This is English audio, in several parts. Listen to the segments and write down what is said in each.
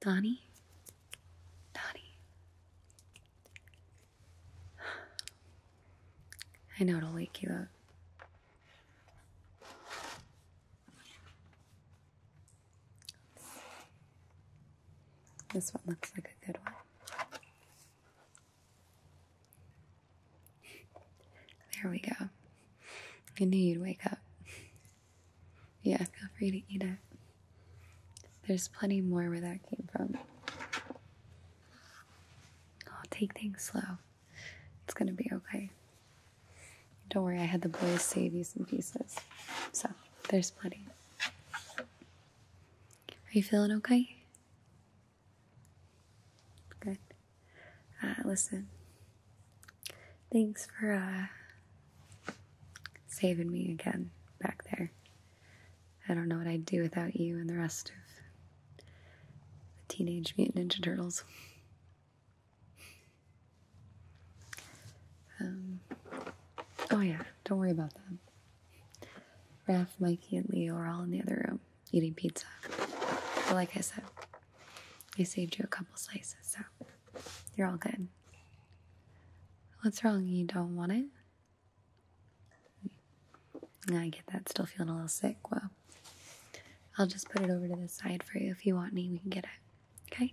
Donnie? Donnie. I know it'll wake you up. This one looks like a good one. There we go. I knew you'd wake up. Yeah, feel free to eat it. There's plenty more where that came from. I'll oh, take things slow. It's gonna be okay. Don't worry, I had the boys save you some pieces. So, there's plenty. Are you feeling okay? Good. Uh, listen, Thanks for uh, saving me again back there. I don't know what I'd do without you and the rest of the Teenage Mutant Ninja Turtles. Um, oh, yeah, don't worry about them. Raph, Mikey, and Leo are all in the other room eating pizza. like I said, I saved you a couple slices, so you're all good. What's wrong? You don't want it? I get that. Still feeling a little sick. Well, I'll just put it over to the side for you. If you want me, we can get it. Okay?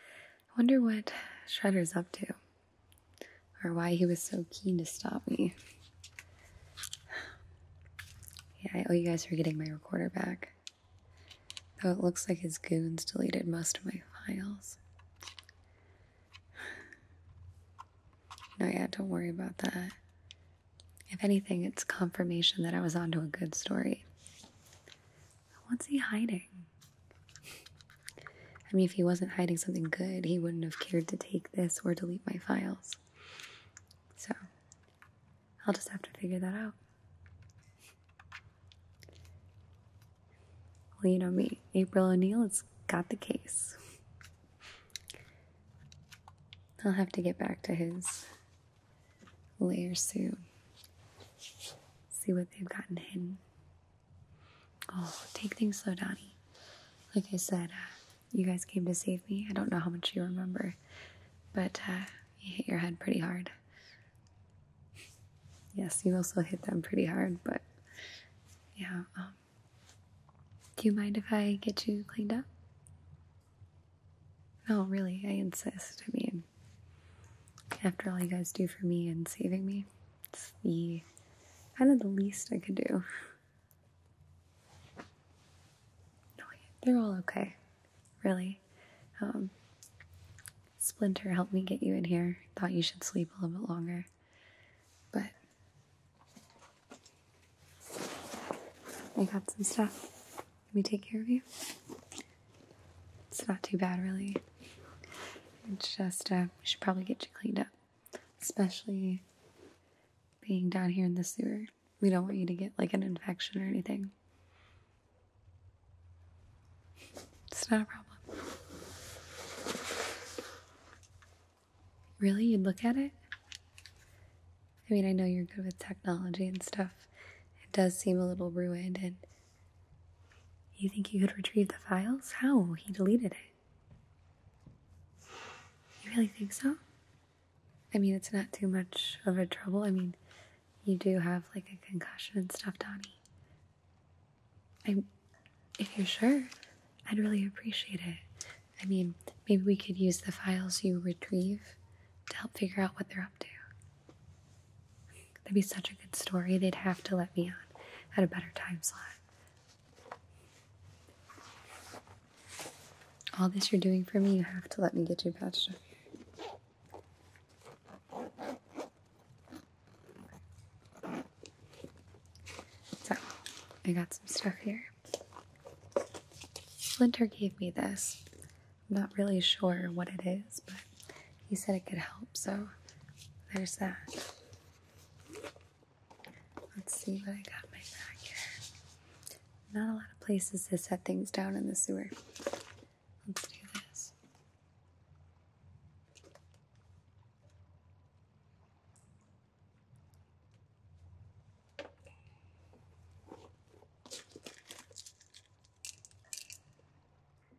I wonder what Shredder's up to or why he was so keen to stop me. Yeah, I owe you guys for getting my recorder back. Though it looks like his goons deleted most of my files. No, yeah, don't worry about that. If anything, it's confirmation that I was onto a good story. What's he hiding? I mean, if he wasn't hiding something good, he wouldn't have cared to take this or delete my files. So, I'll just have to figure that out. Well, you know me, April O'Neil has got the case. I'll have to get back to his lair soon. See what they've gotten hidden. Oh, take things slow, Donnie. Like I said, uh, you guys came to save me. I don't know how much you remember, but uh, you hit your head pretty hard. Yes, you also hit them pretty hard, but yeah. Um, do you mind if I get you cleaned up? Oh, really, I insist. I mean, after all you guys do for me and saving me, it's the kind of the least I could do. No, they're all okay, really. Um, Splinter helped me get you in here. Thought you should sleep a little bit longer. But I got some stuff. Let me take care of you. It's not too bad, really. It's just, uh, we should probably get you cleaned up especially being down here in the sewer. We don't want you to get like an infection or anything. It's not a problem. Really? You'd look at it? I mean, I know you're good with technology and stuff. It does seem a little ruined, and you think you could retrieve the files? How? He deleted it. You really think so? I mean, it's not too much of a trouble. I mean, you do have like a concussion and stuff, Donnie. i if you're sure, I'd really appreciate it. I mean, maybe we could use the files you retrieve to help figure out what they're up to. That'd be such a good story. They'd have to let me on at a better time slot. All this you're doing for me, you have to let me get you patched up. So, I got some stuff here. Splinter gave me this. I'm not really sure what it is, but he said it could help, so there's that. Let's see what I got my bag. here. Not a lot of places to set things down in the sewer. Let's do this.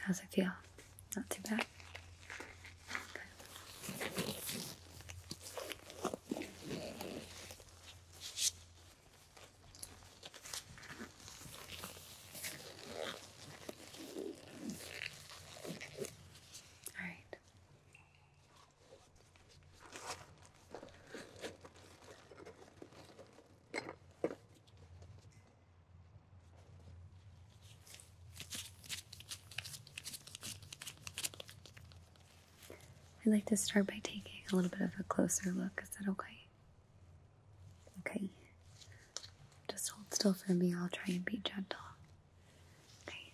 How's it feel? Not too bad. All right. I'd like to start by taking a little bit of a closer look. Is that okay? Okay. Just hold still for me. I'll try and be gentle. Okay.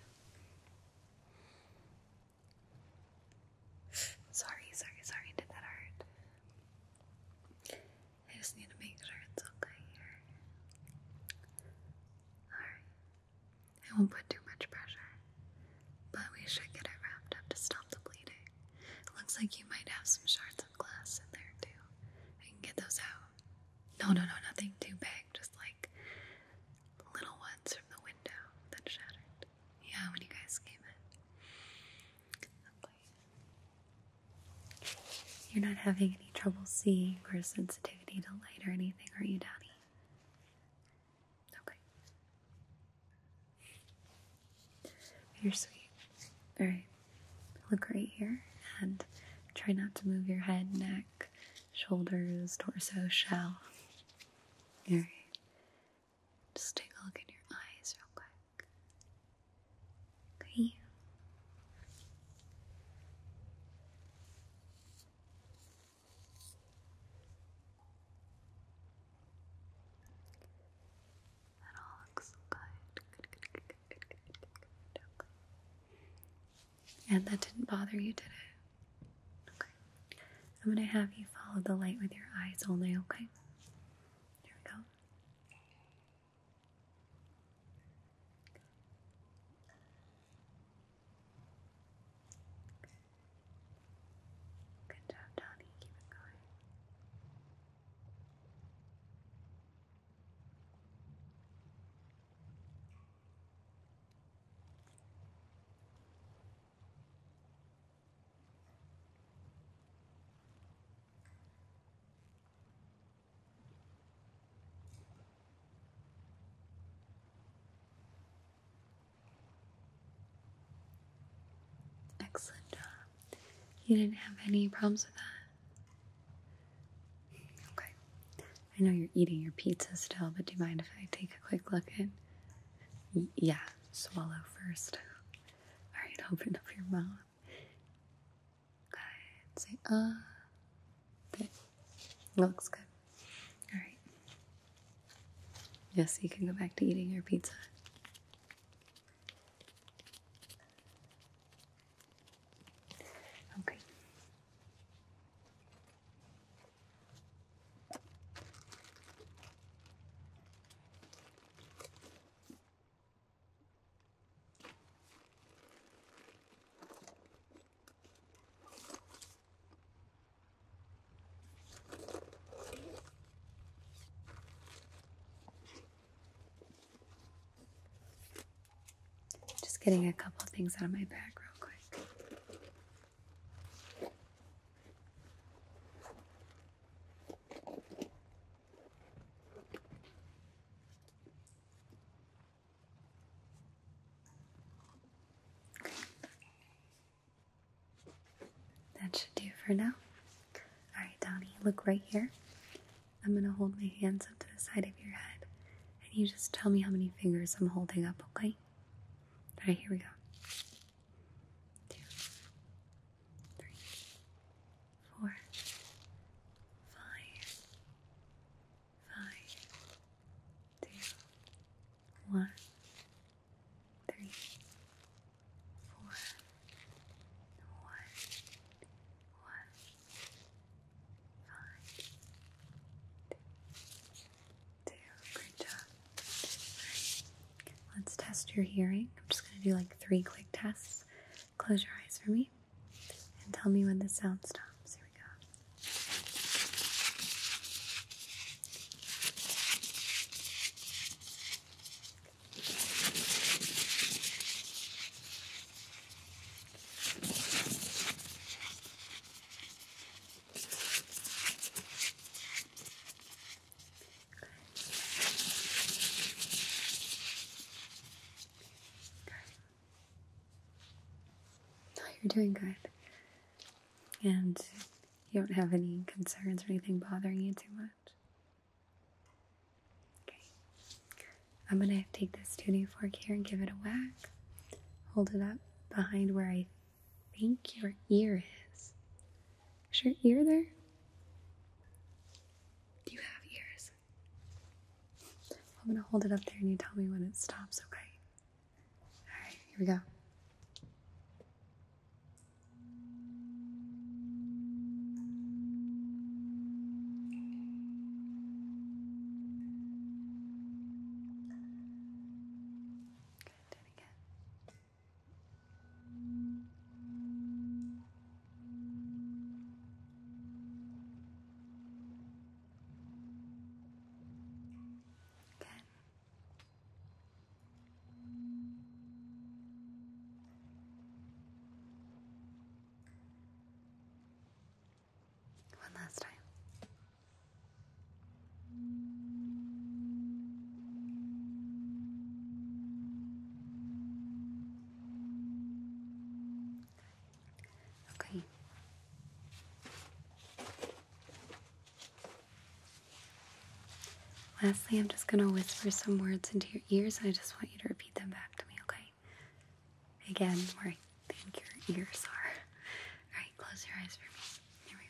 Sorry, sorry, sorry. Did that hurt? I just need to make sure it's okay here. Alright. I won't put too much pressure, but we should get it wrapped up to stop the bleeding. It looks like you might have some shards of glass in there too. I can get those out. No, no, no, nothing too big, just like little ones from the window that shattered. Yeah, when you guys came in. You're not having any trouble seeing or sensitivity to light or anything, are you, Daddy? Okay. You're sweet. Alright. Look right here and try not to move your head, neck, shoulders, torso, shell. Alright. Just take a look in your eyes real quick. 可以。That all looks good. Okay. And that didn't bother you, did it? Okay. I'm gonna have you follow the light with your eyes only, okay? There we go. Good job, Donnie. Keep it going. Excellent job. You didn't have any problems with that? Okay. I know you're eating your pizza still, but do you mind if I take a quick look in? Yeah, swallow first. Alright, open up your mouth. Good. Say ah. Uh, good. Looks good. All right. Yes, you can go back to eating your pizza. Okay. Just getting a couple things out of my bag real quick. That should do for now. Alright, Donnie, look right here. I'm gonna hold my hands up to the side of your head, and you just tell me how many fingers I'm holding up, okay? Alright, here we go. Two, three, four, five, five, two, one, three, four, one, one, five, two, great job. right. Let's test your hearing. I'm just going to do like three quick tests close your eyes for me and tell me when the sound stops. Here we go you're doing good. And you don't have any concerns or anything bothering you too much. Okay. I'm gonna take this tuning fork here and give it a whack. Hold it up behind where I think your ear is. Is your ear there? Do you have ears? I'm gonna hold it up there and you tell me when it stops, okay? Alright, here we go. Good, do it again. Ten. One last time. Okay. Lastly, I'm just going to whisper some words into your ears, and I just want you to repeat them back to me, okay? Again, where I think your ears are. Alright, close your eyes for me. Here we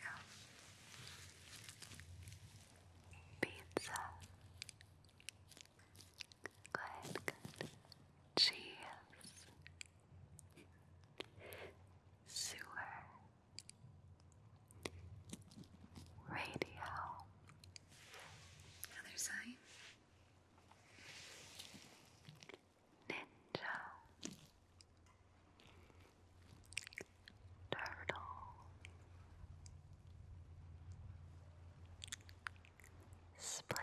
go. Pizza. Good, good. Cheers. Sewer. Radio. Other side. Ninja. Turtle. Split.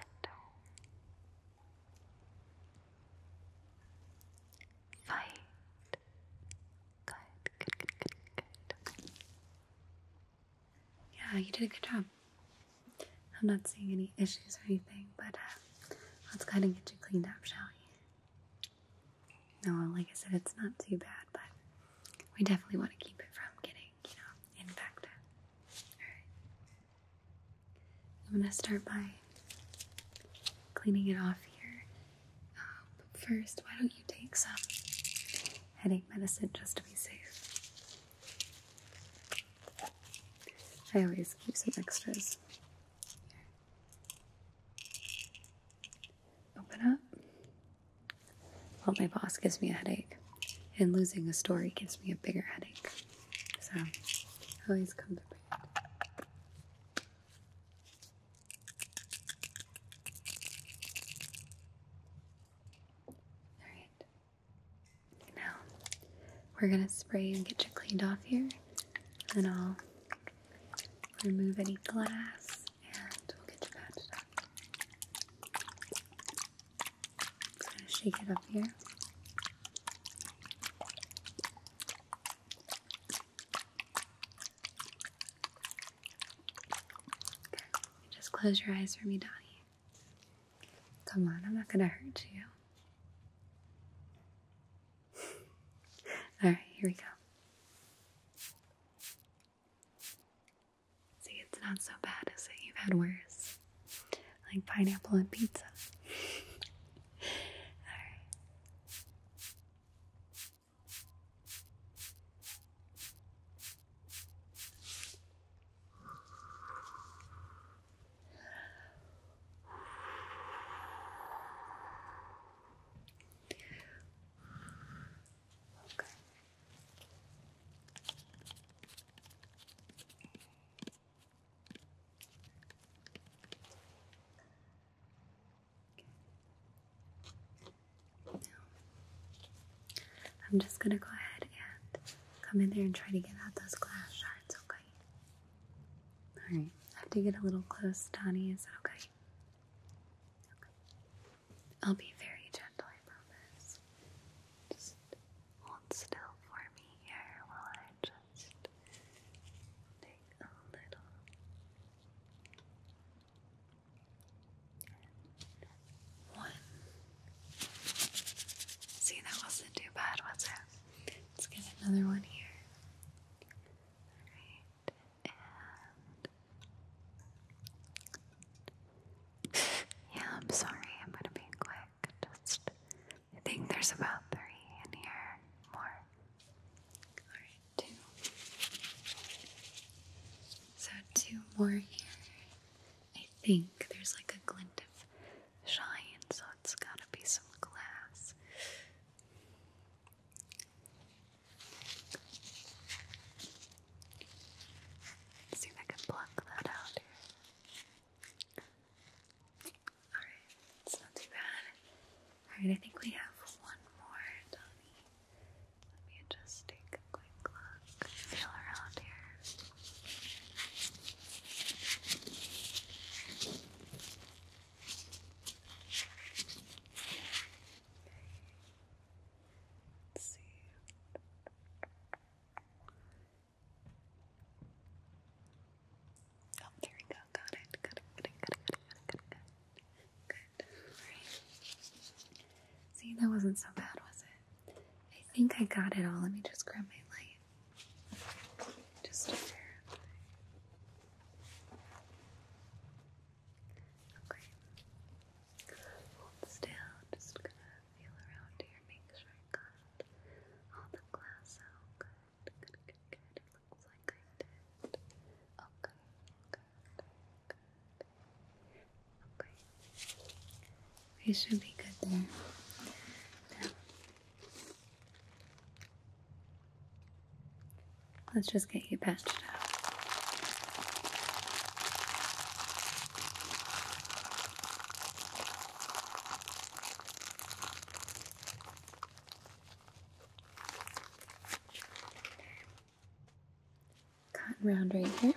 Fight. Good, good, good, good, good. Yeah, you did a good job. I'm not seeing any issues or anything, but uh, let's go ahead and get you cleaned up, shall we? No, like I said, it's not too bad, but we definitely want to keep it from getting, you know, infected. Alright. I'm going to start by cleaning it off here. Um, but first, why don't you take some headache medicine just to be safe? I always keep some extras. Open up. Well, my boss gives me a headache, and losing a story gives me a bigger headache. So, I always come prepared. Alright. Now, we're gonna spray and get you cleaned off here, and I'll remove any glass, and we'll get you patched up. Gonna shake it up here. just close your eyes for me, Donnie. Come on, I'm not gonna hurt you. All right, here we go. See, it's not so bad as it. You've had worse. Like pineapple and pizza. Alright. Okay. I'm just going to go ahead and come in there and try to get out those glass shards, okay? Alright, I have to get a little close, Donnie. Is that Okay. I'll be very gentle, I promise. Just hold still for me here while I just take a little one. See, that wasn't too bad, was it? Let's get another one here. Alright yeah, I'm sorry, I'm gonna be quick. Just I think there's about three in here more. Alright, two. So two more here. I think there's like a glint of shine, so it's gotta be some glass see if I can pluck that out here. Alright, it's not too bad. Alright, I think we have one more, Let me just take a quick look, feel around here see. Oh, there we go. Got it. Got it. Got it. Got it. Got it. Got it. Got it. Good. Alright. See, that wasn't so bad, was it? I think I got it all. Let me just grab my light. Just to verify. Okay. Hold still. Just gonna feel around here. Make sure I all the glass out. Good, good, good, good. It looks like I did. Okay, okay, okay, Okay. We should be good there. Now, Let's just get you patched up. Cotton round right here.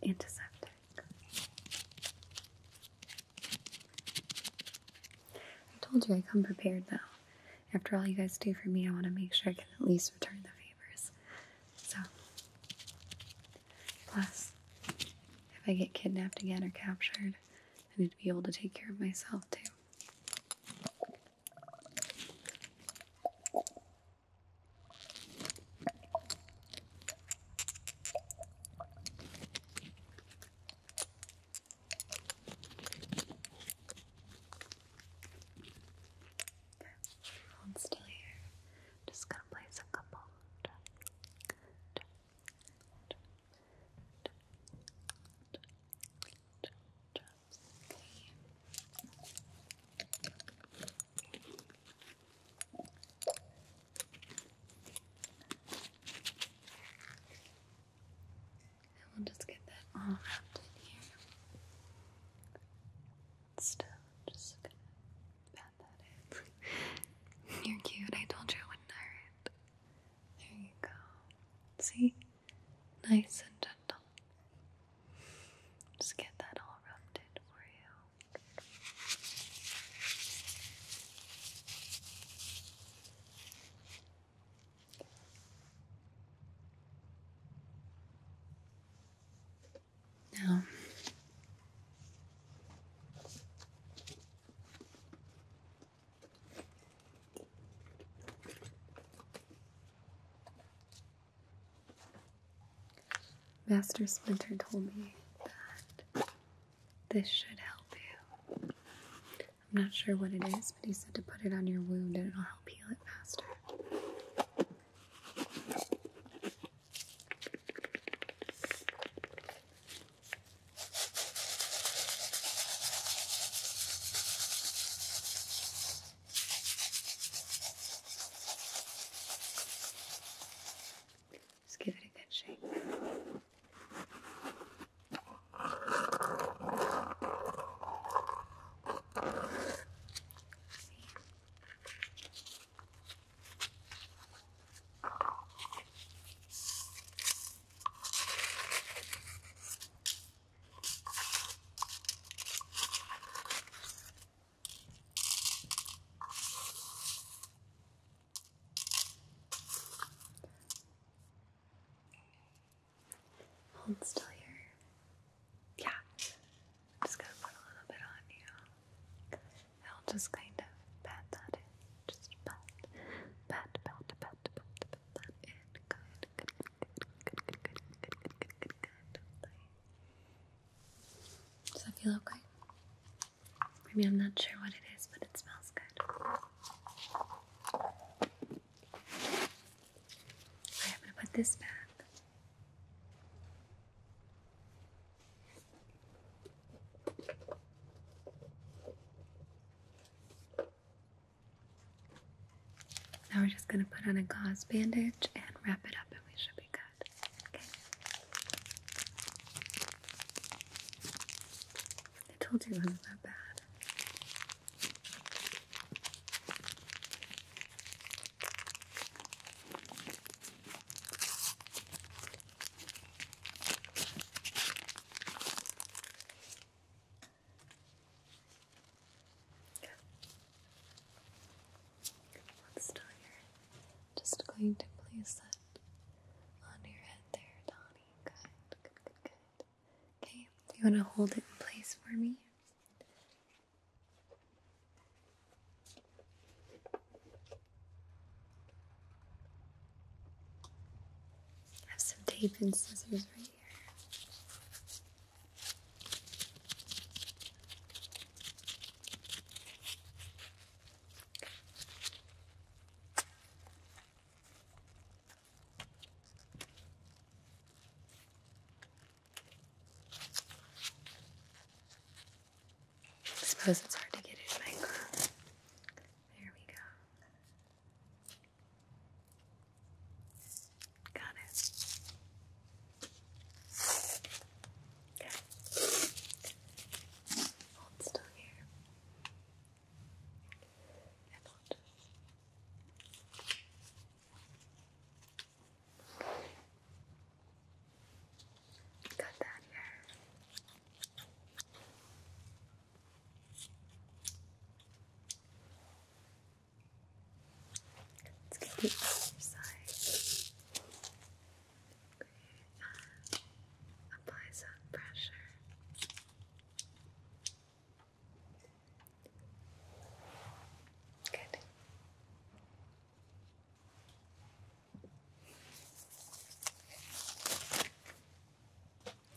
And some antiseptic. I told you I come prepared though. After all you guys do for me, I want to make sure I can at least return the favors. So, plus, if I get kidnapped again or captured, I need to be able to take care of myself too. Hold still here. Just gonna place a couple. And we'll just get that all wrapped in here. Still, just gonna pat that in. You're cute. I told you I wouldn't hurt. There you go. See? Nice and gentle. Just get that all rubbed in for you. Now, Master Splinter told me that this should help you. I'm not sure what it is, but he said to put it on your wound and it'll help heal it faster. Just give it a good shake. Hold still here. Yeah. just going to put a little bit on you. I'll just kind of pat that in. Just pat, pat, pat, pat, pat, pat, that in. Good, good, good, good, good, good, good, good, good, Does that feel okay? Maybe I'm not sure what it is, but it smells good. I'm going to put this back. Now we're just going to put on a gauze bandage and wrap it up, and we should be good. Okay. I told you it wasn't that bad. Let's start here. Just going to place that on your head there, Donny. good, good, good. Okay, you want to hold it in place for me? I have some tape and scissors right here. I suppose it's hard to get in my There we go. Got it. Okay. Hold still here. And hold. Got that here. Let's get the other side apply some pressure. Good.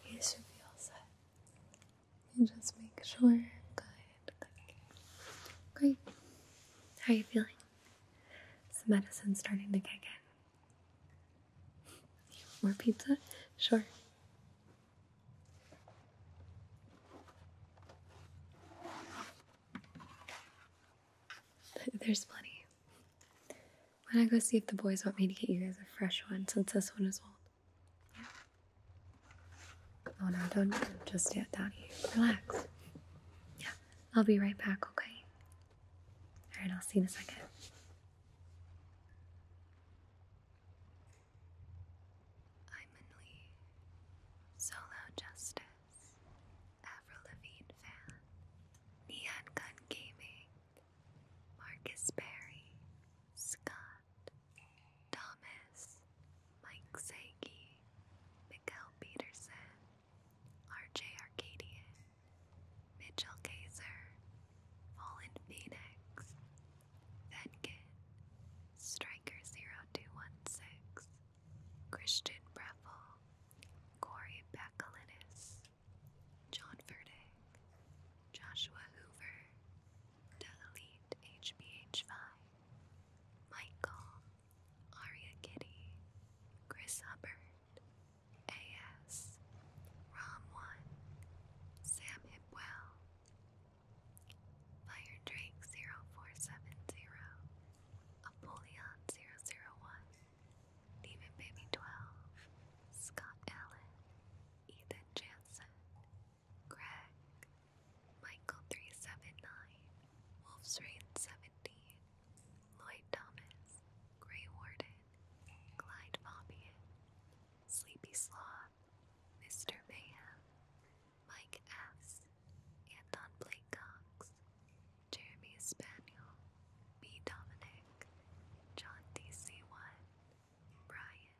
You should be all just make sure. Good. Great. How are you feeling? the medicine starting to kick in? More pizza? Sure. There's plenty. Why not go see if the boys want me to get you guys a fresh one since this one is old? Yeah. Oh no, don't just yet, Dottie. Relax. Yeah, I'll be right back, okay? All right, I'll see you in a second. I'm in Solo Justice, Avril Lavigne fan, Neon Gun Gaming, Marcus Berry, Scott, Thomas, Mike Sankey, Miguel Peterson, RJ Arcadian, Mitchell Kaiser, Fallen Phoenix, Venkin, Striker0216, Christian Breffel, Corey Bacalinis, John Verdick, Joshua Hoover, The Elite HBH5, Michael, Aria Kitty, Chris Hubbard, A.S., Rom One, Sam Hipwell, Fire Drake 0470, Apollyon 001, Demon Baby 12, Scott Allen, Ethan Jansen, Greg, Michael 379, Wolf's Rain 17, Lloyd Thomas, Grey Warden, Clyde Fabien, Sleepy Sloth, Mr. Mayhem, Mike S., Anton Blake Cox, Jeremy Spaniel, B. Dominic, John DC1, Brian.